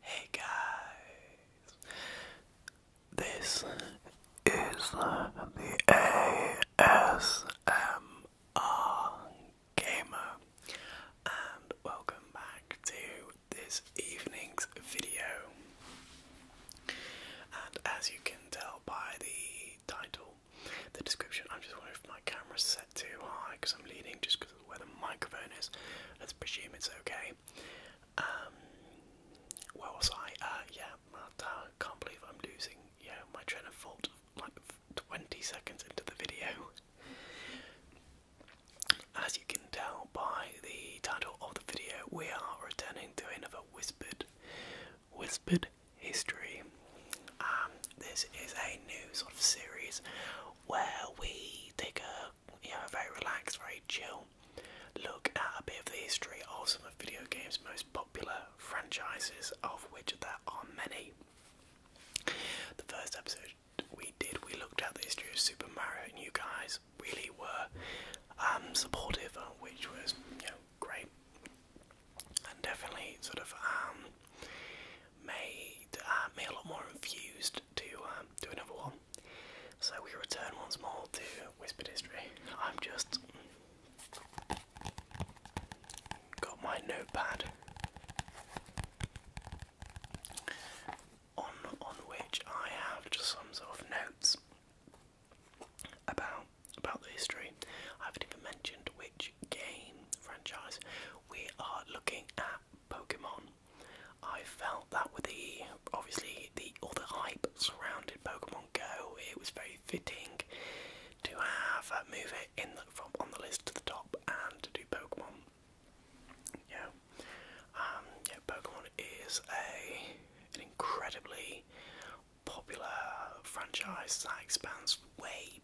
Hey guys, this is the ASMR Gamer, and welcome back to this evening's video. And as you can tell by the title, the description, I'm just wondering if my camera's set too high because I'm leaning just because of where the microphone is. Let's presume it's okay. Um, where uh, yeah, can't believe I'm losing yeah, my train of thought like 20 seconds into the video. As you can tell by the title of the video, we are returning to another Whispered, Whispered History. Um, this is a new sort of series where we take a, you know, a very relaxed, very chill look at a bit of the history of some of video games' most popular franchises, of which there are many. The first episode we did, we looked at the history of Super Mario, and you guys really were um, supportive, uh, which was great, and definitely sort of um, made uh, me a lot more infused to um, do another one. So we return once more to Whispered History. I'm just got my notepad on on which I have just sums of notes about about the history. I haven't even mentioned which game franchise we are looking at Pokemon. I felt that with the obviously the all the hype surrounded Pokemon Go, it was very fitting to have a uh, move it in from on the list to the top and to do Pokemon. Yeah. Um, yeah, Pokemon is a an incredibly popular franchise that expands way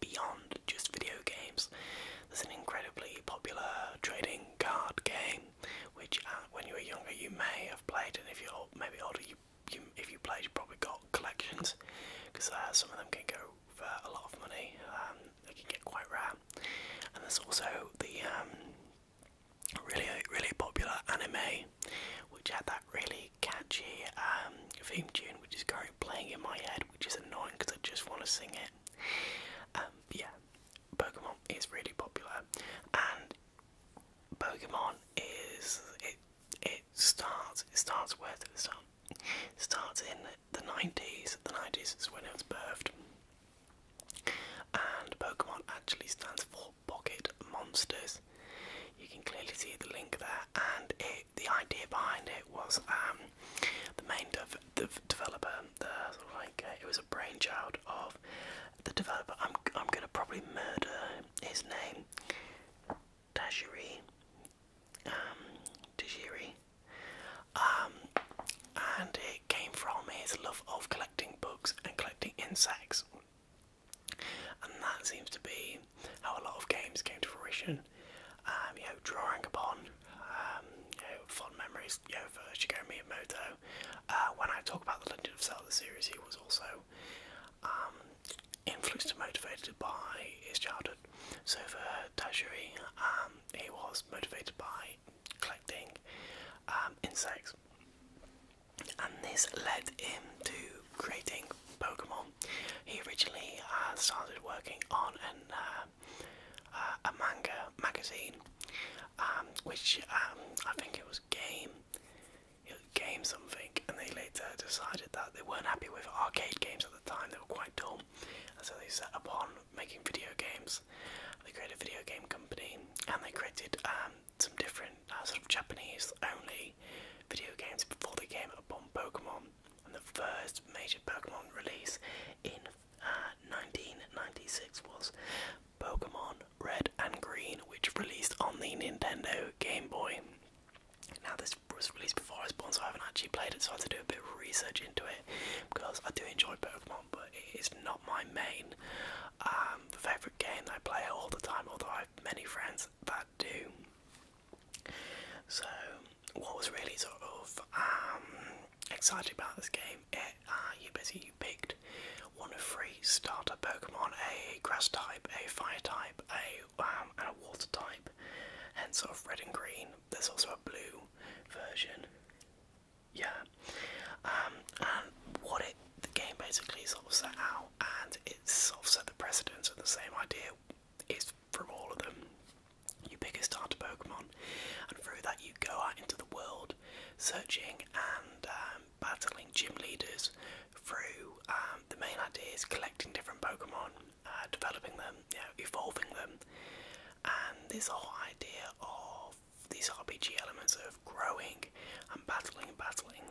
beyond just video games. There's an incredibly popular trading card game, which uh, when you were younger you may have played, and if you're old, maybe older, you, you if you played, you probably got collections because uh, some of them can go for a lot of money. Um, they can get quite rare. And there's also the um, really really popular anime, which had that really catchy um, theme tune, which is currently playing in my head, which is annoying because I just want to sing it. Um, yeah, Pokemon is really popular, and Pokemon is it. It starts. It starts with did it It starts in the 90s. The 90s is when it was birthed. And Pokemon actually stands for Pocket Monsters. You can clearly see the link there, and the idea behind it was um, the main dev the developer, the, like uh, it was a brainchild of the developer. I'm I'm gonna probably murder his name, Tajiri, um, um, and it came from his love of collecting books and collecting insects. And that seems to be how a lot of games came to fruition. Um, you know, drawing upon um, fond memories you know, for Shigeru Miyamoto. Uh, when I talk about the Legend of Zelda series, he was also influenced and motivated by his childhood. So for Tajiri, he was motivated by collecting um, insects. And this led him to creating Pokemon. He originally uh, started working on an, uh, uh, a manga magazine, um, which um, I think it was Game, Game something, and they later decided that they weren't happy with arcade games at the time. They were quite dull, so they set upon making video games. They created a video game company, and they created um, some different uh, sort of Japanese-only video games before they came upon Pokemon. And the first major Pokemon release in 1996 uh, was Pokemon Red and Green, which released on the Nintendo Game Boy. Now this was released before I was born, so I haven't actually played it, so I had to do a bit of research into it because I do enjoy Pokemon, but it is not my main um, favourite game I play all the time, although I have many friends that do. So, what was really sort of um, excited about this game, it, eh, uh, you busy, you picked one of three starter Pokemon, a grass type, a fire type, a um, and a water type, and sort of red and green. There's also a blue version. Yeah. Um, and what it the game basically sort of set out and it's sort of set the precedence of the same idea is from all of them. You pick a starter Pokemon and through that you go out into the world searching and um, battling gym leaders through um, the main idea is collecting different Pokemon uh, developing them, evolving them, and this whole idea of these RPG elements of growing and battling and battling.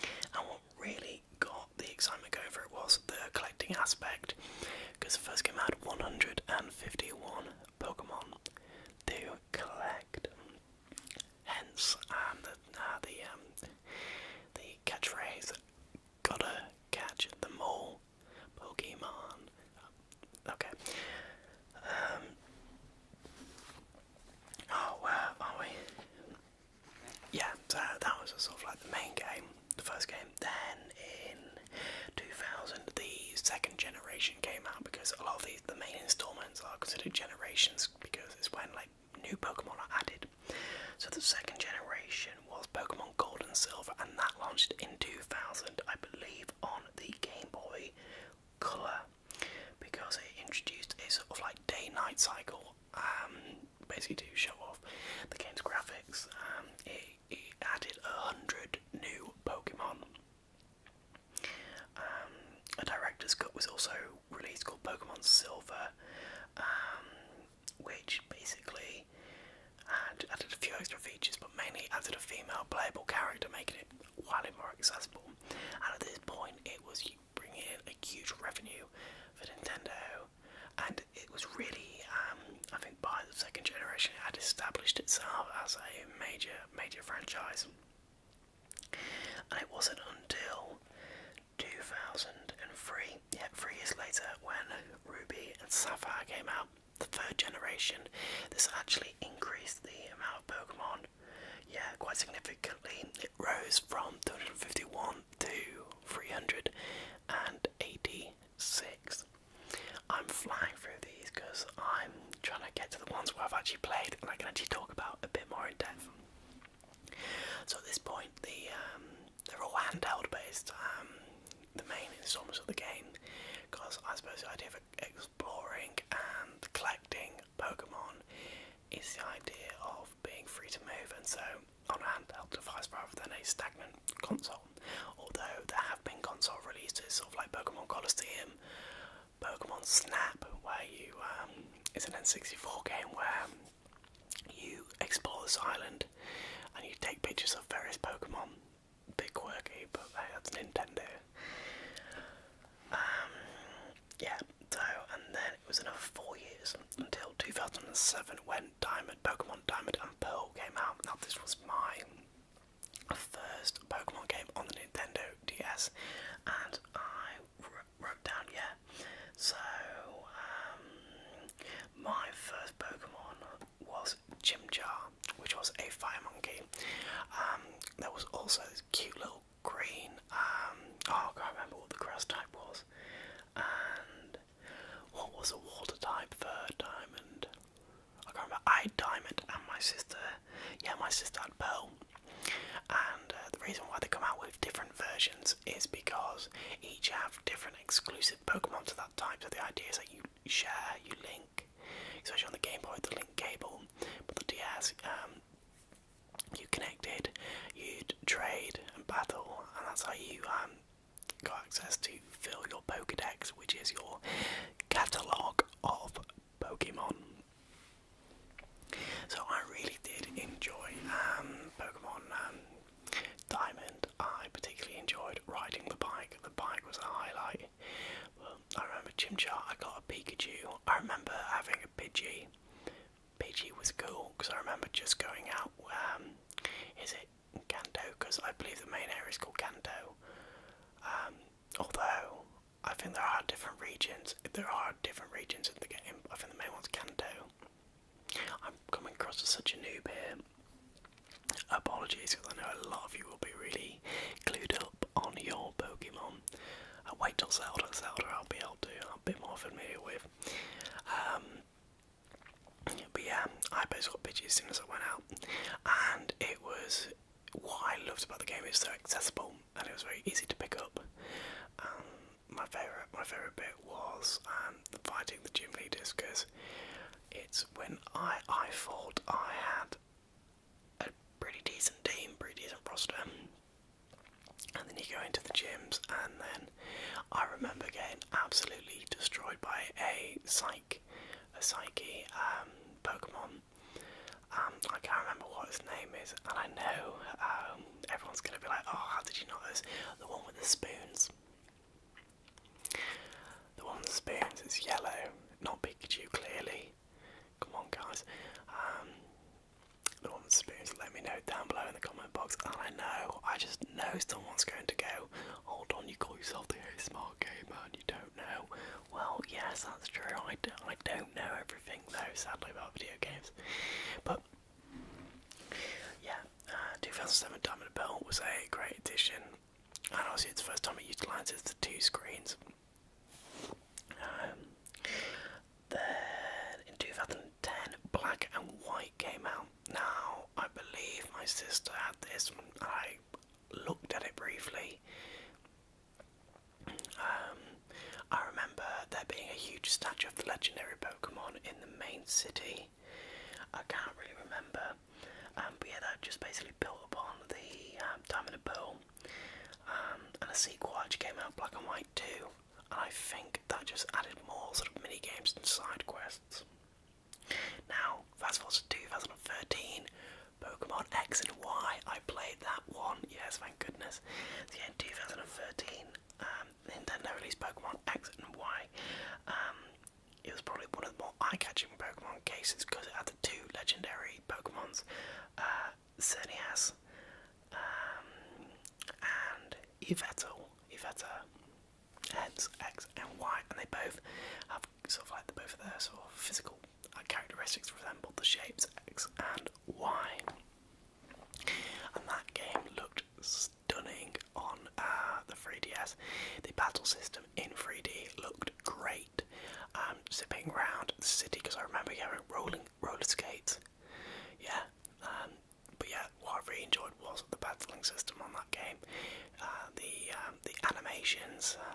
And what really got the excitement over it was the collecting aspect, because the first game had 151 Pokemon to collect. Hence, um, the, uh, the, um, the catchphrase gotta catch the mole Pokemon. Okay. Um, oh, where are we? Yeah, so that was sort of like the main game, the first game. Then in 2000, the second generation came out because a lot of these, the main installments are considered generations because it's when like new Pokemon are added so the second generation was Pokemon Gold and Silver, and that launched in 2000, I believe, on the Game Boy Color because it introduced a sort of like day-night cycle, um, basically to show off the game's graphics. Um, it, added a hundred new Pokemon. Um, a director's cut was also released called Pokemon Silver. Um, which basically added a few extra features, but mainly added a female playable character, making it wildly more accessible. And at this point, it was bringing in a huge revenue for Nintendo, and it was really, um, I think, by the second generation, it had established itself as a major, major franchise. And it wasn't until 2003, yeah, three years later, when Ruby and Sapphire came out, the third generation, this actually increased the amount of Pokemon, yeah, quite significantly. It rose from 251 to 386. I'm flying through these because I'm trying to get to the ones where I've actually played and I can actually talk about a bit more in depth. So at this point, the um, they're all handheld based, um, the main installments of the game, because I suppose the idea of exploring and collecting Pokemon is the idea of being free to move, and so on handheld device rather than a stagnant console. Although there have been console releases, sort of like Pokemon Coliseum, Pokemon Snap, where you um, it's an N64 game where you explore this island and you take pictures of various Pokemon. Bit quirky, but hey, that's Nintendo. Um, yeah, so, and then it was another four years until 2007 when Diamond, Pokemon Diamond and Pearl came out. Now, this was my first Pokemon game on the Nintendo DS, and I wrote down, yeah. So, um, my first Pokemon was Chimchar, which was a fire monkey. Um, there was also this cute little green, um, oh, I can't remember what the grass type was. And what was a water type Third Diamond? I can't remember. I had Diamond and my sister, yeah, my sister had Pearl. And uh, the reason why they come out with different versions is because each have different exclusive Pokemon to that type. So the idea is that you share, you link, especially on the Game Boy, the link cable, but the DS, um, you connected, you'd trade and battle, and that's how you um, got access to fill your Pokedex, which is your catalogue of Pokemon. So I really did enjoy um, Pokemon um, Diamond. I particularly enjoyed riding the bike. The bike was a highlight. I remember Chimchar. I got a Pikachu. I remember having a Pidgey. Pidgey was cool because I remember just going out. Um, is it Kanto? Because I believe the main area is called Kanto. although I think there are different regions. There are different regions the game. I think the main one's Kanto. I'm coming across as such a noob here. Apologies, because I know a lot of you will be really glued up on your Pokemon. Uh, wait till Zelda. Zelda, I'll be able to. I'm a bit more familiar with. Um, but yeah, I basically got Pidgey as soon as I went out, and it was what I loved about the game. It's so accessible and it was very easy to pick up. Um, my favorite my favorite bit was um, fighting the gym leaders because it's when I I thought I had a pretty decent team, pretty decent roster, and then you go into the gyms and then I remember getting absolutely destroyed by a psych, a psyche um, Pokemon. Um, I can't remember what his name is, and I know um, everyone's gonna be like, "Oh, how did you know this? the one with the spoons?" The one with the spoons is yellow, not Pikachu, clearly. Come on, guys. Um, the one with the spoons. Let me know down below in the comment box. And I know, I just know someone's going to go. Hold on, you call yourself the smart gamer and you don't know. Well, yes, that's true. I, do, I don't know everything though, sadly, about video games. But yeah, uh, 2007 Diamond Bell was a great addition, and obviously it's the first time it utilises the two screens. Um, then in 2010, Black and White came out. Now I believe my sister had this. I looked at it briefly. Um, I remember there being a huge statue of the legendary Pokemon in the main city. I can't really remember, um, but yeah, that just basically built upon the um, Diamond and Pearl, and a sequel actually came out, Black and White too. and I think that just added more sort of mini games and side quests. Now, fast forward to 2013, Pokemon X and Y. I played that one. Yes, thank goodness. So yeah, in 2013, um, Nintendo released Pokemon X and Y. Um, it was probably one of the more eye-catching Pokemon cases because it had the two legendary Pokemons, uh, Cernias um, and Yveltal. Yveltal. Hence X and Y, and they both have sort of like the both of their sort of physical characteristics resembled the shapes X and Y. And that game looked stunning on uh, the 3DS. The battle system in 3D looked great. Um, zipping around the city because I remember having rolling roller skates. Yeah. Um, but yeah, what I really enjoyed was the battling system on that game. Uh, the um, the animations, uh,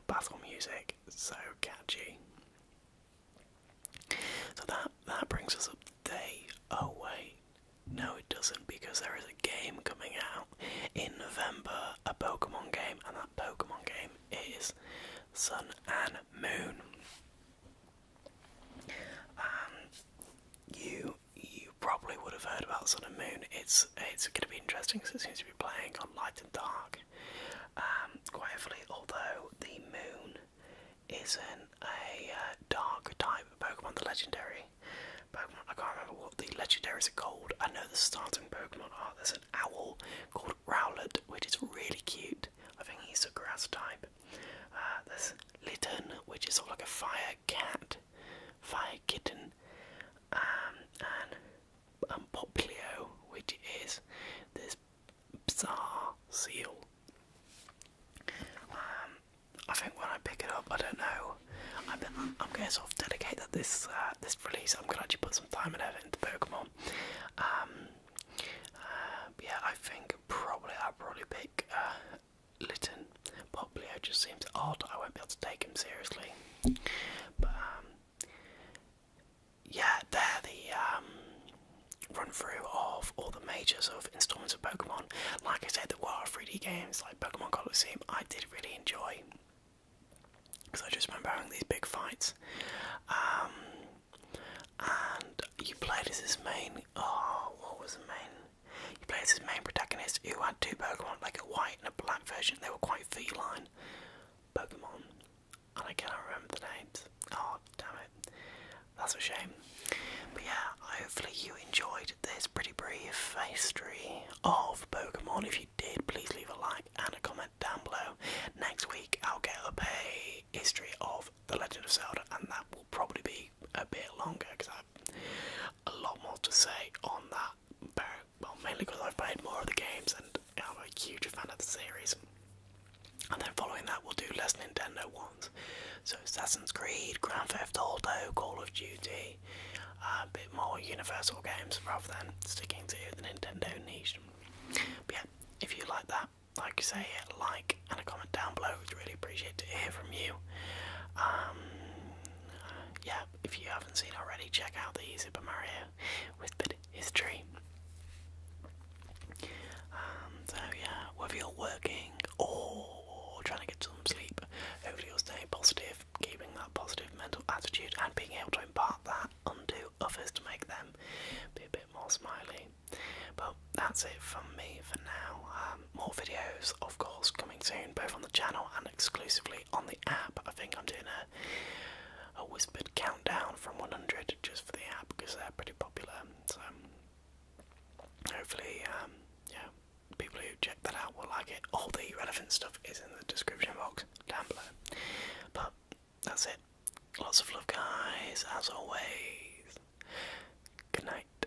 battle music, so catchy. So that that brings us up day. away? Oh, no, it doesn't because there is a game coming out in November, a Pokemon game, and that Pokemon game is Sun and Moon. And you you probably would have heard about Sun and Moon. It's it's going to be interesting because it seems to be playing on light and dark. Um, quite heavily, although the moon isn't a uh, dark type Pokemon, the legendary Pokemon. I can't remember what the legendaries are called. I know the starting Pokemon are. There's an owl called Rowlet, which is really cute. I think he's a grass type. Uh, there's Litten, which is sort of like a fire cat, fire kitten um, and um, which is this bizarre seal. Um, I think when I pick it up, I don't know. I'm, I'm going to sort of dedicate this uh, this release. I'm going to actually put some time and effort into Pokemon. Um, uh, yeah, I think probably I'll probably pick uh, Litten but Leo just seems odd. I won't be able to take him seriously. But um, yeah, they're the um, run through of all the major of installments of Pokemon. Like I said, the were 3D games like Pokemon Coliseum. I did really enjoy because I just remember having these big fights. Um, and you played as this main. Oh, what was the main? You play as his main protagonist, who had two Pokemon, like a white and a black version. They were quite feline Pokemon, and I cannot remember the names. Oh, damn it. That's a shame. But yeah, hopefully you enjoyed this pretty brief history of Pokemon. If you did, please leave a like and a comment down below. Next week, I'll get up a history of The Legend of Zelda, and that will probably be a bit longer because I have a lot more to say on that well, mainly because I've played more of the games and I'm a huge fan of the series. And then following that, we'll do less Nintendo ones. So Assassin's Creed, Grand Theft Auto, Call of Duty, a bit more universal games rather than sticking to the Nintendo niche. But yeah, if you like that, like you say, hit like and a comment down below. We'd really appreciate to hear from you. Um, yeah, if you haven't seen already, check out the Super Mario with Whispered History. Um, so yeah, whether you're working or trying to get some sleep, hopefully you'll stay positive, keeping that positive mental attitude and being able to impart that onto others to make them be a bit more smiley. But that's it from me for now. Uh, um, more videos, of course, coming soon, both on the channel and exclusively on the app. I think I'm doing a, a whispered countdown from 100 just for the app because they're pretty popular. So hopefully, um, yeah, people who check that out will like it. All the relevant stuff is in the description box down below. But that's it. Lots of love, guys. As always, good night.